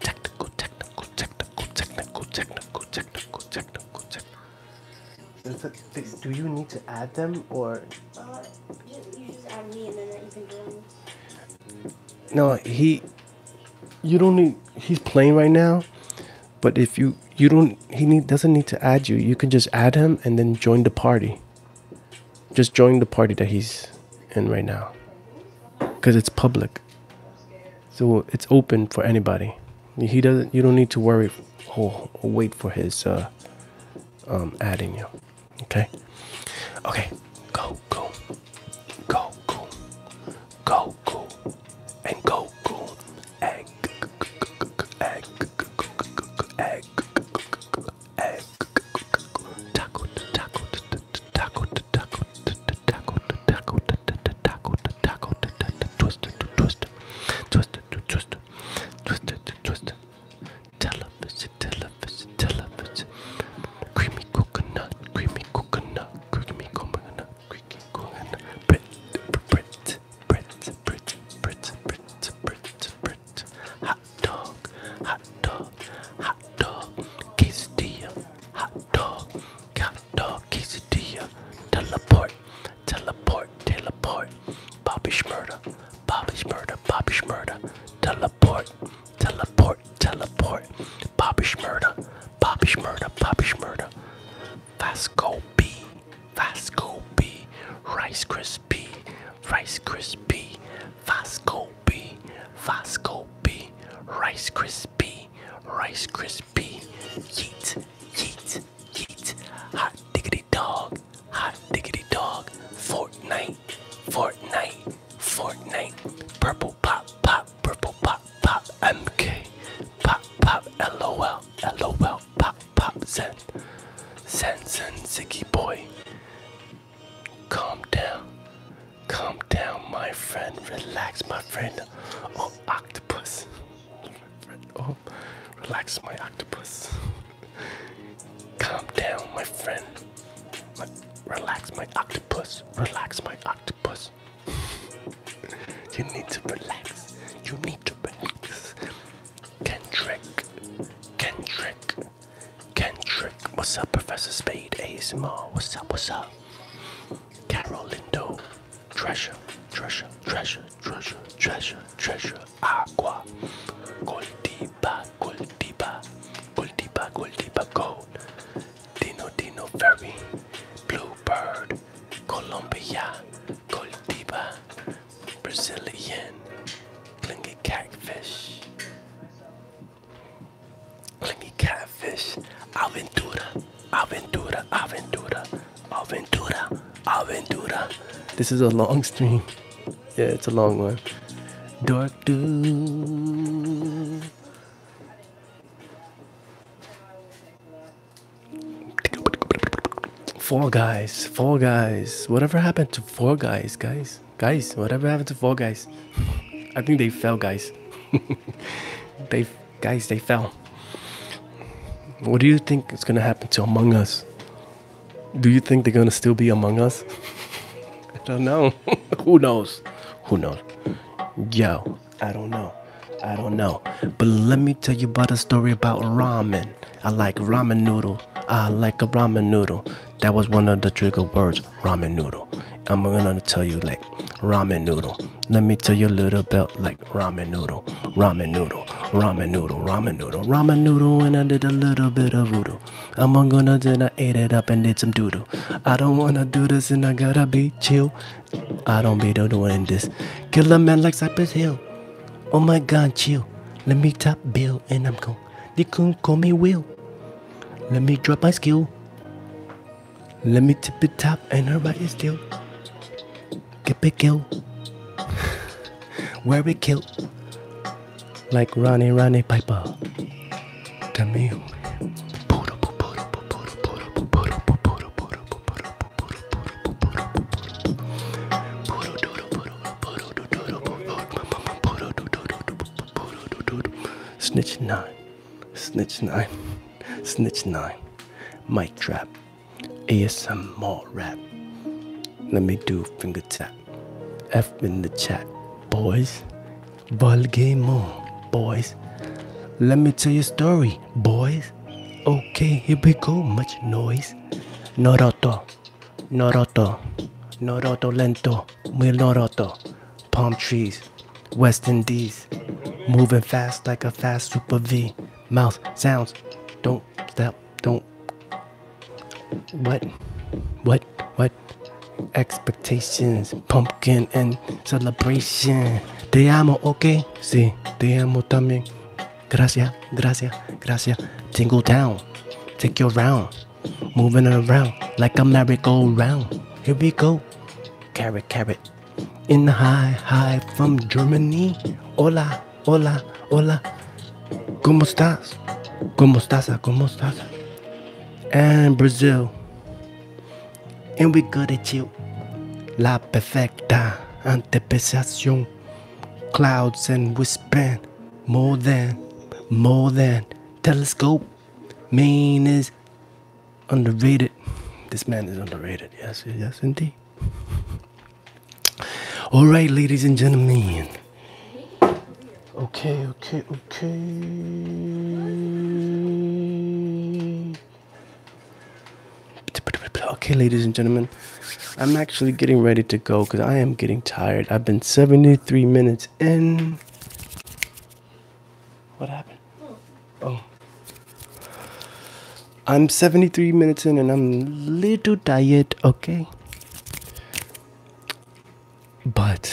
Technical, technical, technical, technical, technical, technical, technical, technical do you need to add them or? No, he. You don't need. He's playing right now, but if you you don't he need doesn't need to add you. You can just add him and then join the party. Just join the party that he's in right now, because it's public so it's open for anybody. He doesn't. You don't need to worry or, or wait for his uh, um, adding you. Okay. Okay. Go go go go go go and go go egg egg egg egg taco taco taco taco taco taco taco taco taco twister twister twist it, twist it, twist it, twist it. Television, television, television. Creamy coconut, creamy coconut, creamy coconut, creamy coconut. Brit, Brit, Brit, Brit, Brit, Brit, Brit, Brit. Hot dog, hot dog, hot dog. Quesadilla, hot dog, hot dog, quesadilla. Teleport, teleport, teleport, Bobby Schmurda, Bobby Schmurda, Bobby Schmurda, teleport, teleport, teleport, Bobby Schmurda, Bobby Schmurda, Bobby Schmurda, Vasco B, Vasco B, Rice Krispie, Rice Krispie, Vasco B, Vasco B, Rice Krispie, Rice Krispie crispy. Yeet, yeet, yeet. Hot diggity dog, hot diggity dog. Fortnite, Fortnite, Fortnite. Purple pop, pop, purple pop, pop. MK, pop, pop. LOL, LOL. Pop, pop. Zen, Zen, Zen. Ziggy boy. Calm down, calm down, my friend. Relax, my friend. Oh, octopus. Oh, relax, my octopus. Calm down, my friend. relax, my octopus. Relax, my octopus. you need to relax. You need to relax. Kendrick. Kendrick. Kendrick. What's up, Professor Spade? ASMR. What's up? What's up? Carol Lindo treasure, treasure, treasure, treasure, treasure, treasure, agua, goldiba, goldiba, goldiba, goldiba, gold, dino, dino, fairy, bluebird, Colombia, goldiba, Brazilian, clingy catfish, clingy catfish, aventura. Aventura, Aventura, Aventura, Aventura. This is a long stream. Yeah, it's a long one. Dark Doom. Four guys, four guys. Whatever happened to four guys, guys? Guys, whatever happened to four guys? I think they fell, guys. they Guys, they fell. What do you think is going to happen to Among Us? Do you think they're going to still be Among Us? I don't know. Who knows? Who knows? Yo, I don't know. I don't know. But let me tell you about a story about ramen. I like ramen noodle. I like a ramen noodle. That was one of the trigger words, ramen noodle. I'm gonna tell you like ramen noodle. Let me tell you a little about like ramen noodle, ramen noodle, ramen noodle, ramen noodle, ramen noodle, and I did a little bit of doodle. I'm gonna and I ate it up and did some doodle. I don't wanna do this and I gotta be chill. I don't be doing this. Kill a man like Cypress Hill. Oh my god, chill. Let me top bill and I'm gone. They couldn't call me Will. Let me drop my skill. Let me tip it top and everybody still. Get big kill. Where we kill. Like Ronnie Ronnie Piper. Camille. Snitch 9, Snitch 9, Snitch 9, Mic Trap. ASMR rap. Let me do finger tap. F in the chat, boys. Ball game boys. Let me tell you a story, boys. Okay, here we go. Much noise. Noroto, Noroto, Noroto lento, muy Noroto. Palm trees, West Indies, moving fast like a fast Super V mouth sounds. Don't stop. Don't. What? What? What? Expectations, pumpkin and celebration. Te amo, okay? Sí, te amo también. Gracias, gracias, gracias. Tingle town, Take you around. Moving around like a merry-go-round. Here we go. Carrot, carrot, in high high from Germany. Hola, hola, hola. ¿Cómo estás? ¿Cómo estás? ¿Cómo estás? And Brazil. And we good at you. La perfecta anticipación. Clouds and wingspan. More than, more than. Telescope. Maine is underrated. This man is underrated. Yes, yes, indeed. All right, ladies and gentlemen. Okay, okay, okay. Okay, ladies and gentlemen, I'm actually getting ready to go because I am getting tired. I've been 73 minutes in. What happened? Oh. I'm 73 minutes in and I'm a little tired, okay? But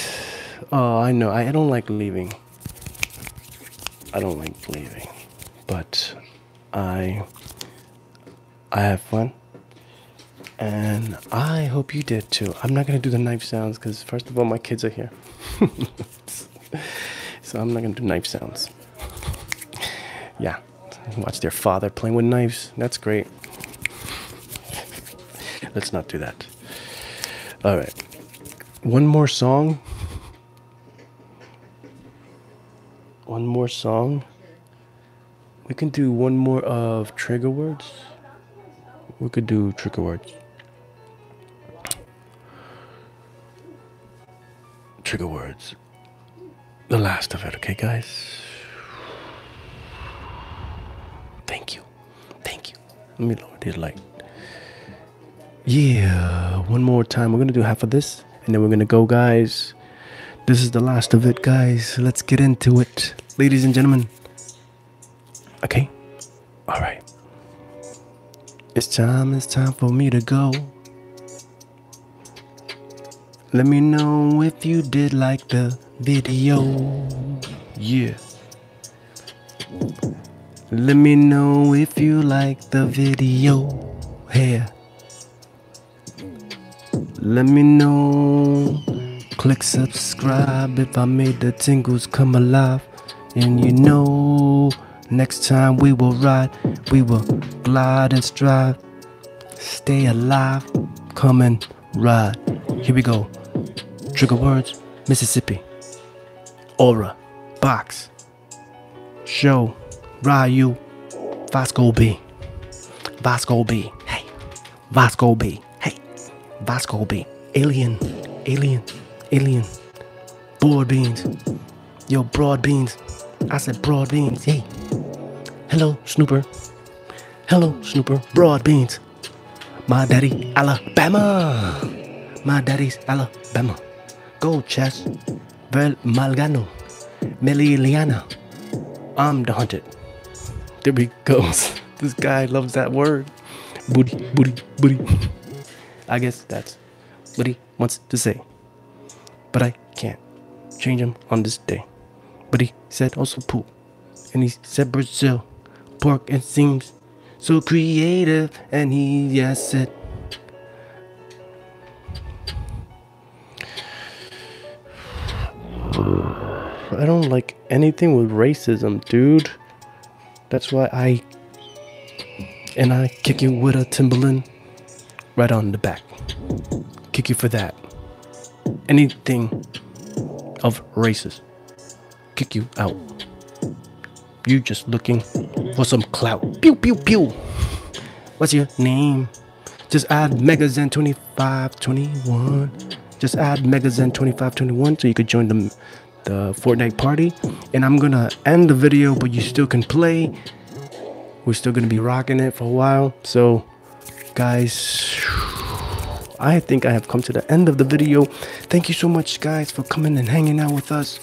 oh, I know I don't like leaving. I don't like leaving. But I I have fun. And I hope you did too. I'm not gonna do the knife sounds because first of all my kids are here. so I'm not gonna do knife sounds. Yeah, watch their father playing with knives. That's great. Let's not do that. All right, one more song. One more song. We can do one more of trigger words. We could do trigger words. Trigger words the last of it, okay, guys? Thank you. Thank you. Let me lower light. Yeah, one more time. We're gonna do half of this and then we're gonna go, guys. This is the last of it, guys. Let's get into it, ladies and gentlemen. Okay, all right. It's time, it's time for me to go. Let me know if you did like the video. Yeah. Let me know if you like the video. Here. Let me know. Click subscribe if I made the tingles come alive. And you know. Next time we will ride, we will glide and strive. Stay alive, come and ride. Here we go. Trigger words Mississippi. Aura, Box, Show, Ryu, Vasco B. Vasco B. Hey, Vasco B. Hey, Vasco B. Alien, Alien, Alien broad beans. Yo, broad beans. I said broad beans. Hey. Hello, Snooper. Hello, Snooper. Broad beans. My daddy, Alabama. My daddy's Alabama. Gold chest. Vel Malgano. Meli Meliliana. I'm the hunted. There we go. This guy loves that word. Booty, booty, booty. I guess that's booty, wants to say. But I can't change him on this day. But he said also pool. And he said Brazil, pork and seems so creative. And he, yes, said. I don't like anything with racism, dude. That's why I. And I kick you with a Timberland. Right on the back. Kick you for that. Anything of races, Kick you out. You just looking for some clout. Pew pew pew. What's your name? Just add Megazen 2521. Just add Megazen 2521 so you could join the the Fortnite party. And I'm gonna end the video, but you still can play. We're still going to be rocking it for a while. So, guys, I think I have come to the end of the video. Thank you so much, guys, for coming and hanging out with us.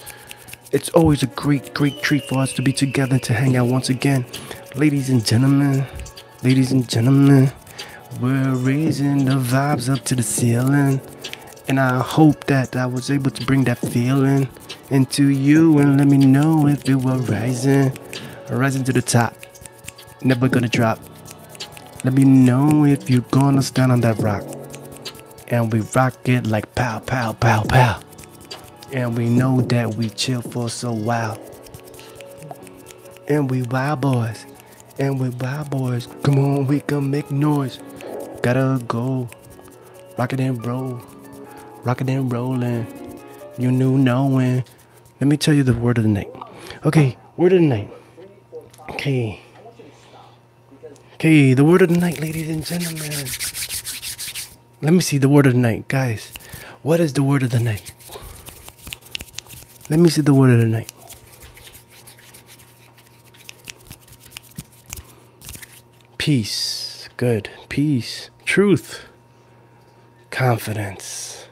It's always a great, great treat for us to be together to hang out once again. Ladies and gentlemen, ladies and gentlemen, we're raising the vibes up to the ceiling. And I hope that I was able to bring that feeling into you and let me know if you are rising, rising to the top, never gonna drop. Let me know if you're gonna stand on that rock, and we rock it like pow, pow, pow, pow. And we know that we chill for so wild. and we wild boys, and we wild boys. Come on, we gonna make noise. Gotta go Rock it and roll. Rock it and rolling. You knew knowing. Let me tell you the word of the night. Okay, word of the night. Okay. Okay, the word of the night, ladies and gentlemen. Let me see the word of the night, guys. What is the word of the night? Let me see the word of the night. Peace. Good. Peace. Truth. Confidence.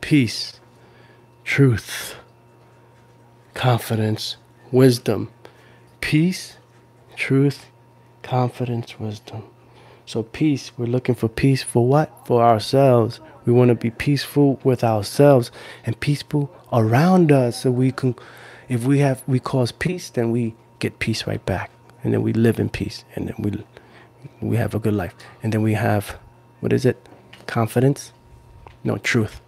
Peace. Truth. Confidence. Wisdom. Peace. Truth. Confidence. Wisdom. So, peace, we're looking for peace for what? For ourselves. We want to be peaceful with ourselves and peaceful around us. So, we can, if we have, we cause peace, then we get peace right back and then we live in peace and then we we have a good life and then we have what is it confidence no truth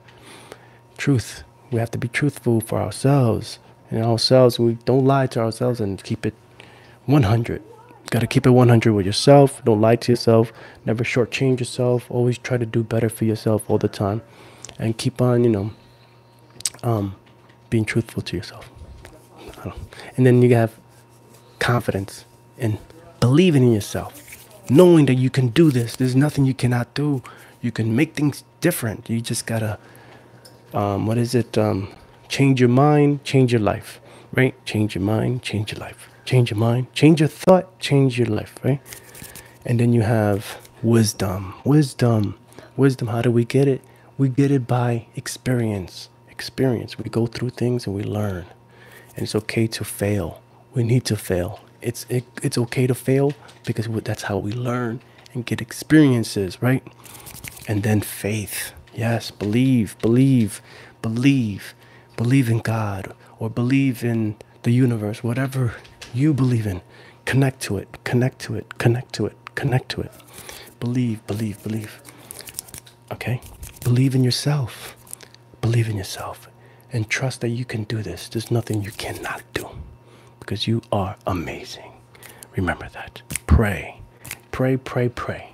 truth we have to be truthful for ourselves and ourselves we don't lie to ourselves and keep it 100 got to keep it 100 with yourself don't lie to yourself never shortchange yourself always try to do better for yourself all the time and keep on you know um, being truthful to yourself. And then you have confidence and believing in yourself, knowing that you can do this. There's nothing you cannot do. You can make things different. You just gotta, um, what is it? Um, change your mind, change your life, right? Change your mind, change your life. Change your mind, change your thought, change your life, right? And then you have wisdom. Wisdom wisdom. how do we get it? We get it by experience. Experience. We go through things and we learn. And it's okay to fail. We need to fail. It's it's okay to fail because that's how we learn and get experiences, right? And then faith. Yes, believe, believe, believe, believe in God or believe in the universe, whatever you believe in. Connect to it, connect to it, connect to it, connect to it. Believe, believe, believe. Okay? Believe in yourself. Believe in yourself and trust that you can do this. There's nothing you cannot do because you are amazing. Remember that. Pray, pray, pray, pray.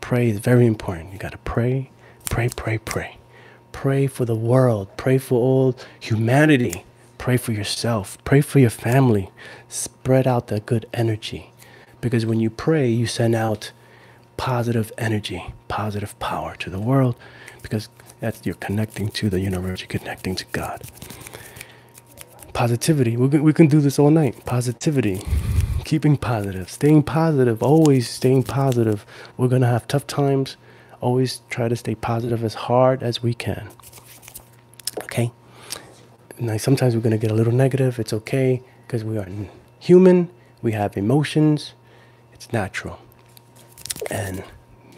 Pray is very important. You got to pray, pray, pray, pray. Pray for the world, pray for all humanity. Pray for yourself. Pray for your family. Spread out that good energy. Because when you pray, you send out positive energy, positive power to the world. Because that's you're connecting to the universe, you're connecting to God. Positivity. We can, we can do this all night. Positivity. Keeping positive. Staying positive. Always staying positive. We're going to have tough times. Always try to stay positive as hard as we can. Okay. Now, sometimes we're going to get a little negative. It's okay because we are human. We have emotions. It's natural. And,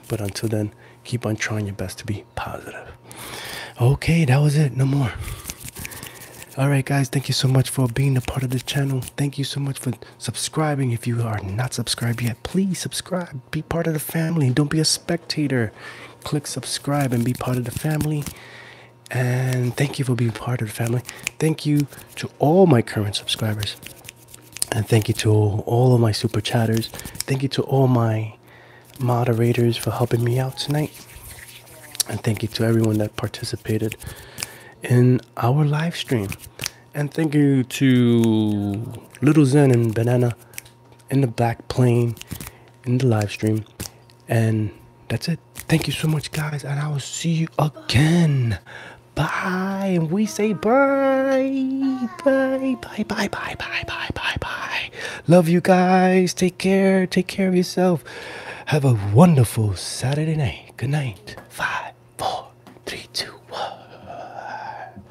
but until then, keep on trying your best to be positive. Okay, that was it. No more. All right, guys, thank you so much for being a part of this channel. Thank you so much for subscribing. If you are not subscribed yet, please subscribe. Be part of the family. Don't be a spectator. Click subscribe and be part of the family. And thank you for being part of the family. Thank you to all my current subscribers. And thank you to all of my super chatters. Thank you to all my moderators for helping me out tonight. And thank you to everyone that participated in our live stream. And thank you to Little Zen and Banana in the black plane in the live stream. And that's it. Thank you so much, guys. And I will see you again. Bye. And we say bye. Bye. Bye. Bye. Bye. Bye. Bye. Bye. Bye. Love you guys. Take care. Take care of yourself. Have a wonderful Saturday night. Good night. Five, four, three, two, one.